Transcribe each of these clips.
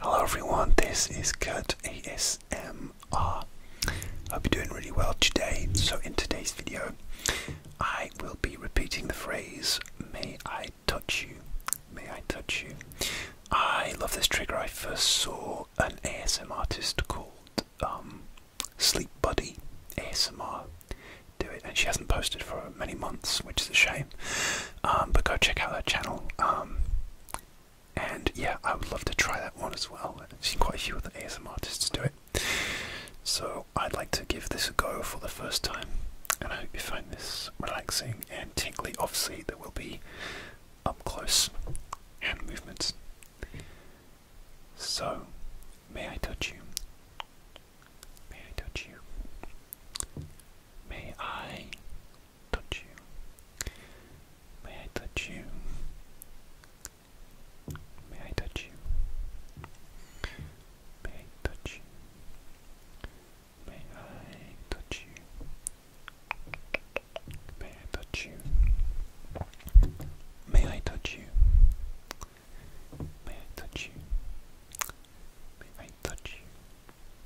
Hello everyone, this is Kurt ASMR. I Hope you're doing really well today. So in today's video, I will be repeating the phrase, may I touch you, may I touch you. I love this trigger. I first saw an ASMR artist called um, Sleep Buddy ASMR do it and she hasn't posted for many months, which is a shame. Um, but go check out that channel. Um, and yeah, I would love to try that one as well. I've seen quite a few other ASM artists do it. So I'd like to give this a go for the first time. And I hope you find this relaxing and tingly. Obviously, there will be up close hand movements. So, may I touch you? May I touch you? May I touch you? May I touch you? May I touch you? May I touch you? May I touch you? May I touch you? May I touch you? May I touch you? May I touch you?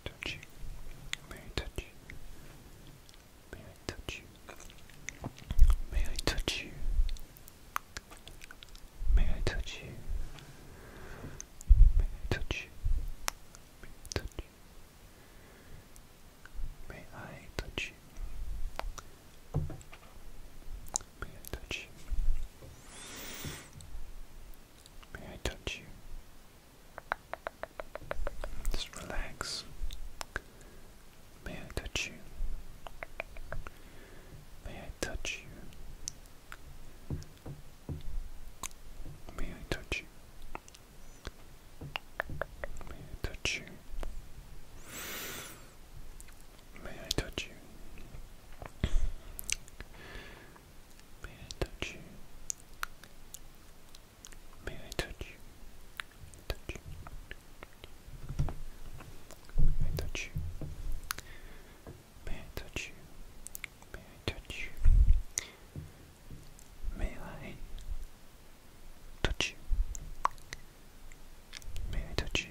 May I touch you? May I touch you? May I touch you? May I touch you? May I touch you? May I touch you? May I touch you? May I touch you? May I touch you? May I touch you? Just relax. May I touch you? May I touch you? May I touch you? May I touch you? May I touch you? May I touch you? May I touch you? Touch you. May I touch you? May I touch you? May I touch you? May I touch you? May I touch you?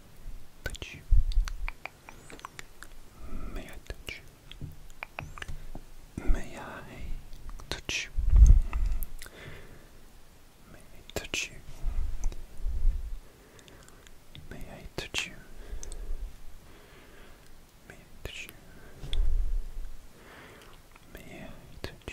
touch you? May I touch you? May I touch you? May I touch you? May I touch you? May I touch you? May I touch you?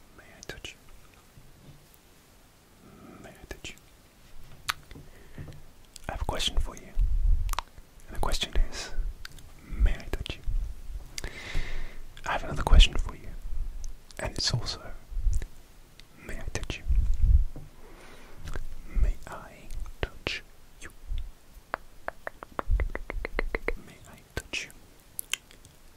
May I touch you? May I touch you? I have a question for you. And the question is, may I touch you? I have another question for you. And it's also, may I touch you? May I touch you? May I touch you?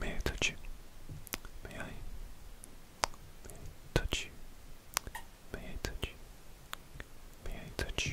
May I touch you? May I touch you? May I touch you? May I touch you? May I? touch you? May I touch you? May I touch you?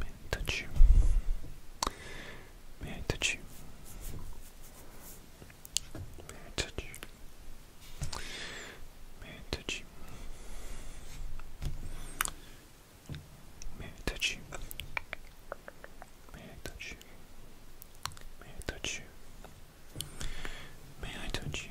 May I touch you? May I touch you? May I touch you? May I touch you? May I touch you? May I touch you? May I touch you?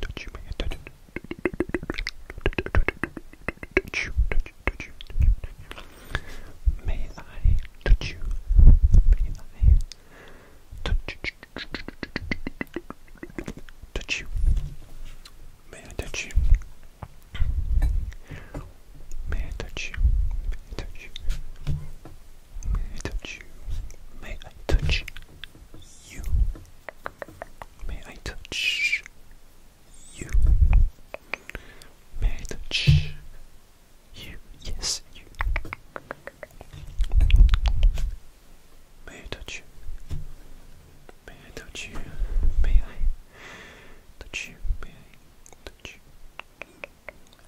Touch you, man. Touch you. Touch you. May I touch you? May I touch you? Touch you. May I touch you? May I touch you? May I touch you? May I touch you? May I touch you? May I touch you? May I touch you? Yes, you. May I touch you? May I touch you? May I touch you? May I touch you?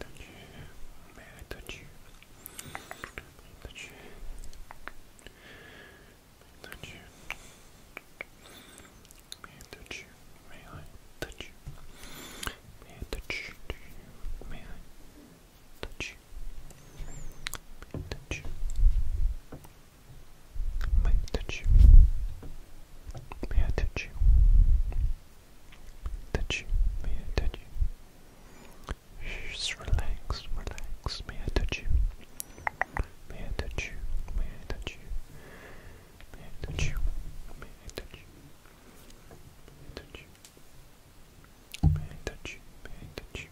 touch May I touch you? May I touch you? May I touch you? May I touch you? May I touch you? May I touch you? May I touch you? May I touch you? May I touch you? Touch you? May I touch you? Just relax, relax. May I touch you? May I touch you? May I touch you? May I touch you? May I touch you? May I touch you? May I touch you? May I touch you?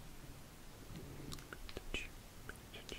Touch you? May I touch you?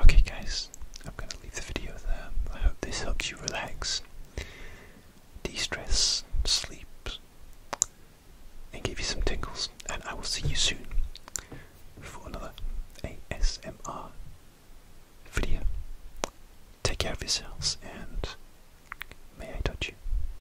Okay, guys, I'm going to leave the video there. I hope this helps you relax, de stress, sleep, and give you some tingles. And I will see you soon for another ASMR video. Take care of yourselves and may I touch you.